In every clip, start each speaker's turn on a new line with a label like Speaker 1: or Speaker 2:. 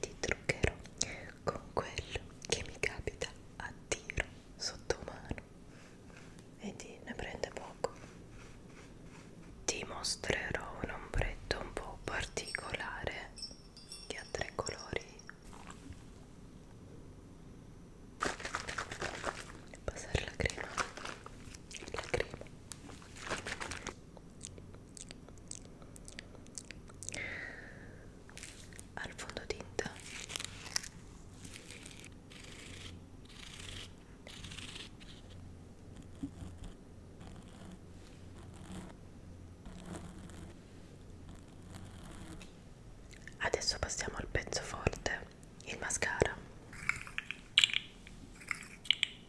Speaker 1: ti truccherò con quello che mi capita a tiro sotto mano vedi ne prende poco ti mostrerò un ombretto un po' particolare che ha tre colori passare la crema la crema al fondotinta Adesso passiamo al pezzo forte, il mascara.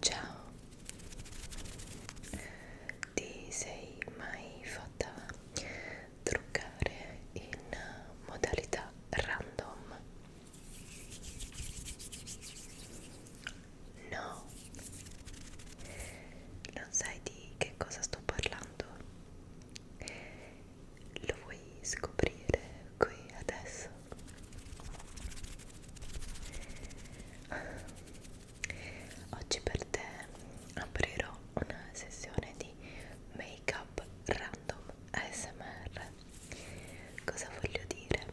Speaker 1: Ciao, ti sei mai fatta truccare in modalità random? No, non sai di che cosa sto parlando? Lo vuoi scoprire qui adesso? Oggi per te aprirò una sessione di make up random ASMR. Cosa voglio dire?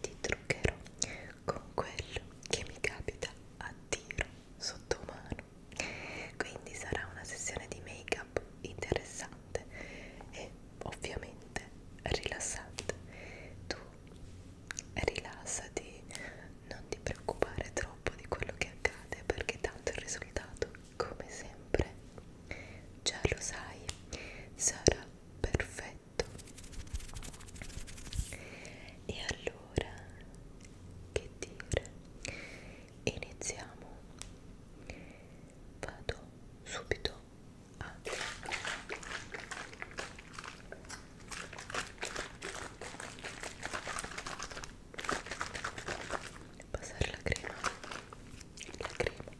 Speaker 1: Ti truccherò con quello che mi capita a tiro sotto mano. Quindi sarà una sessione di make app interessante e ovviamente rilassante tu rilassati non ti preoccupare troppo di quello che accade perché tanto il risultato come sempre già lo sai sarà perfetto e allora che dire iniziamo vado subito a passare la crema la crema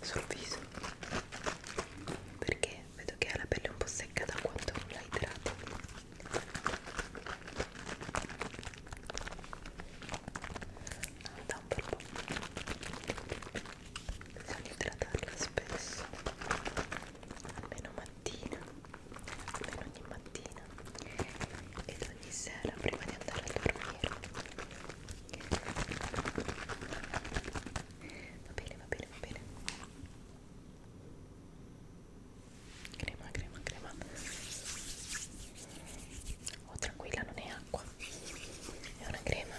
Speaker 1: sul viso perché vedo che ha la pelle un po' secca da quanto la idrata da un bel po' bisogna idratarla spesso almeno mattina almeno ogni mattina ed ogni sera prima di andare a dormire va bene va bene va bene crema crema crema oh tranquilla non è acqua è una crema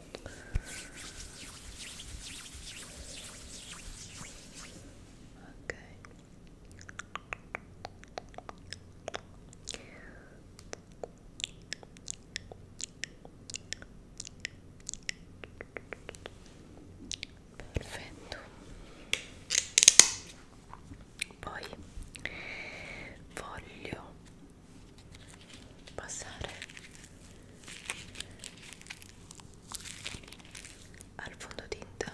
Speaker 1: ok perfetto poi voglio passare al fondotinta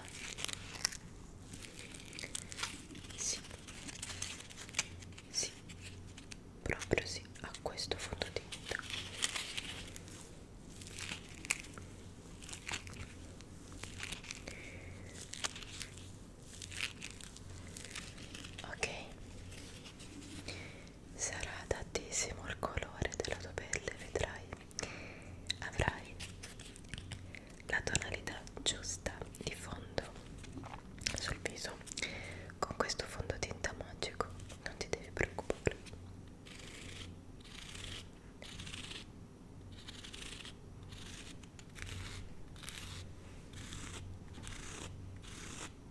Speaker 1: sì sì proprio sì a questo fondotinta ok sarà adattissimo al colore della tua pelle, vedrai. Avrai la tonalità giusta di fondo sul viso. Con questo fondotinta magico non ti devi preoccupare. Ora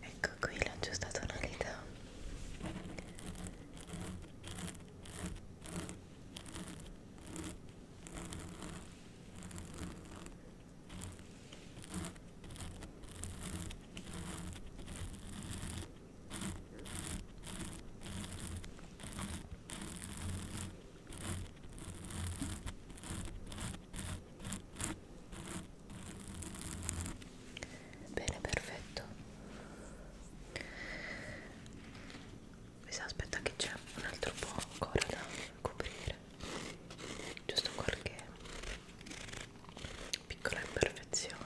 Speaker 1: ecco qui la giusta tonalità Bene, perfetto. Mi sa, aspetta che c'è un altro po' ancora da coprire. Giusto qualche piccola imperfezione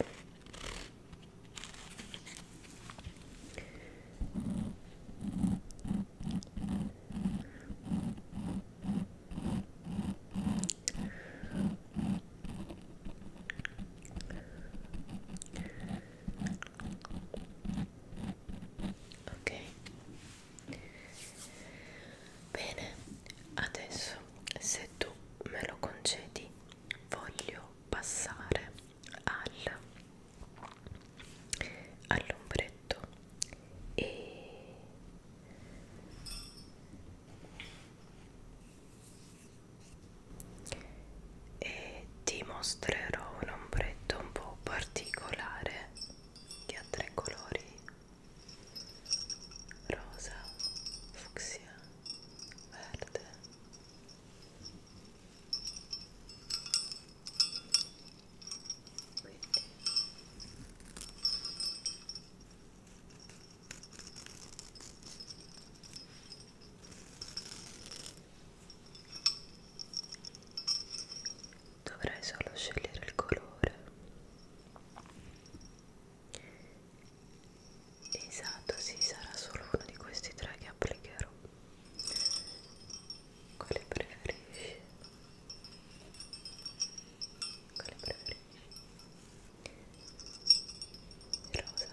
Speaker 1: ok bene adesso se tu me lo concedi voglio passare al, all'ombretto e e ti mostrerò un ombretto un po' particolare che ha tre colori rosa, fucsia, verde quindi. Dovrai solo scegliere il colore esatto sì sarà solo uno di questi tre che applicherò quale preferisci? quale preferisci? rosa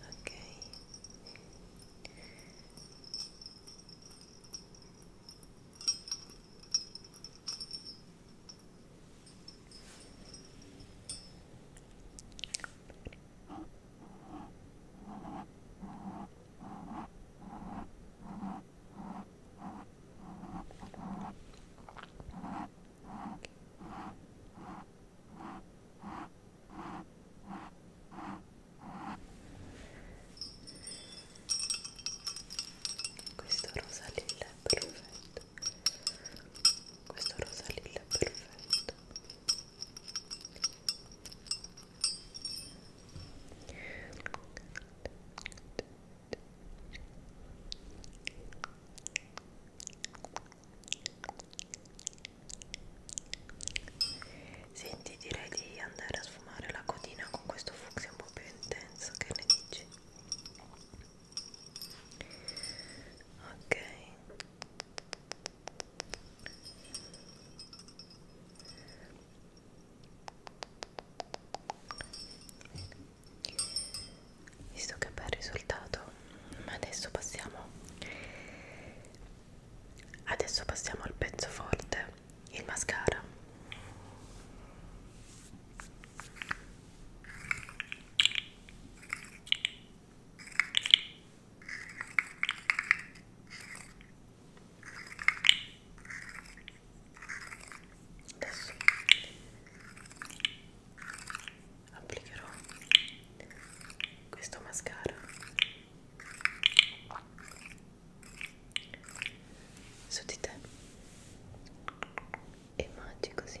Speaker 1: ok ok questo rosa lilla è perfetto questo rosa lilla è perfetto Senti, direi di andare a sfumare la codina con questo fucsia un po' più intenso, che ne dici? ok visto che bel risultato ma adesso passiamo adesso passiamo al pezzo forte il mascara Adesso applicherò questo mascara. Su di te e mangi così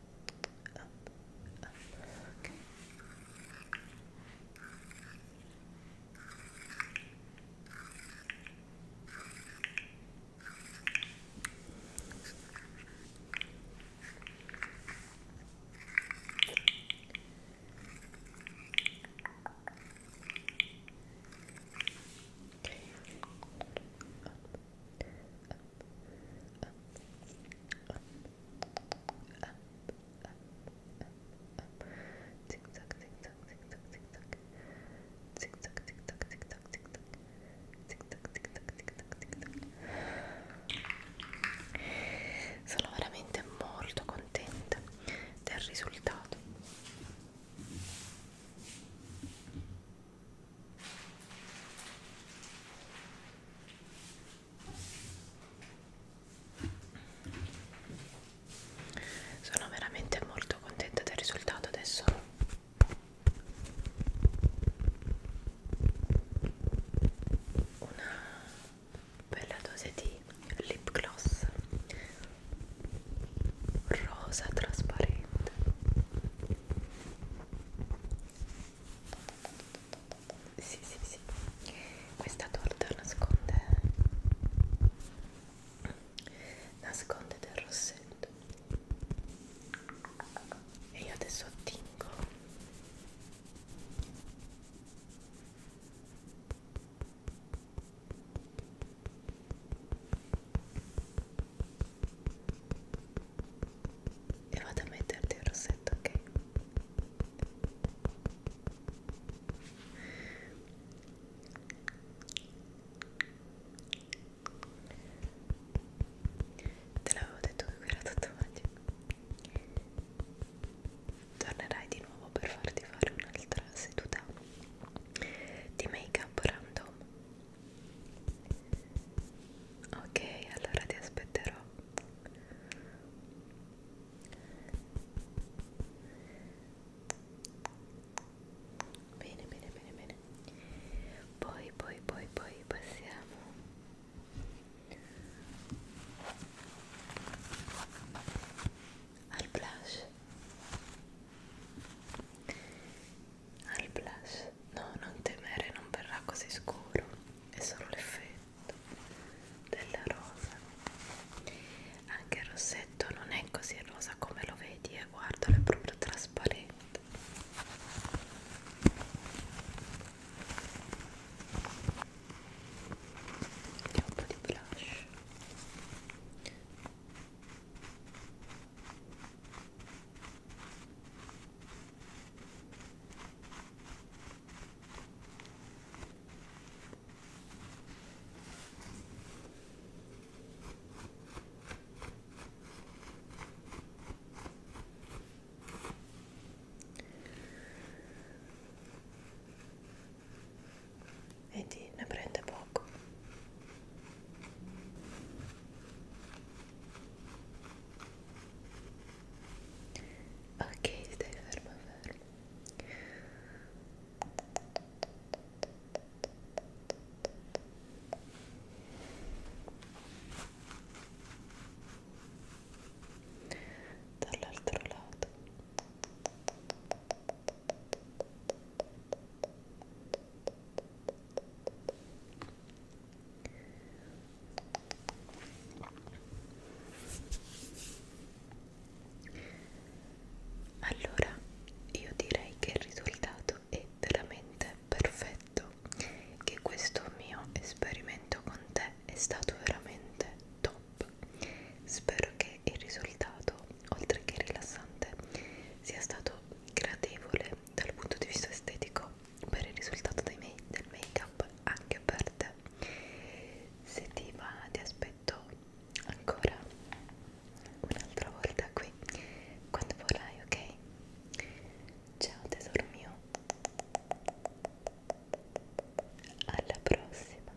Speaker 1: up, up. Okay. Okay. Up, up, up, up, up, up, up, zig zag, zig zag, zig zag, zig zag, zig zag, zig zag, zig zag, zig zag, zig zag, zig zag, zig zag, zig zag. Sono veramente molto contenta del risultato sono veramente molto contenta del risultato adesso una bella dose di lip gloss rosa trasparente sì, sì, sì. Questa torta nasconde nasconde del rossetto. E io adesso attingo. Ecco e vado a metterti il rossetto ok te l'avevo detto che era tatuaggio tornerai di nuovo per farti fare un'altra seduta di make up random Ok, allora ti aspetterò. Bene, bene, bene, bene. Poi, poi, poi, poi passiamo al blush al blush no non temere non verrà così scuro è solo l'effetto della rosa anche il rossetto non è così rosa come lo vedi e eh. guardalo è proprio trasparente e un po' di blush Vedi, ne prende poco. Ok, stai fermo, fermo. Dall'altro lato. Allora, io direi che il risultato è veramente perfetto, che questo mio esperimento con te è stato veramente top. Spero che il risultato, oltre che rilassante, sia stato gradevole dal punto di vista estetico per il risultato dei make del make up anche per te se ti va ti aspetto ancora un'altra volta qui quando vorrai ok ciao tesoro mio alla prossima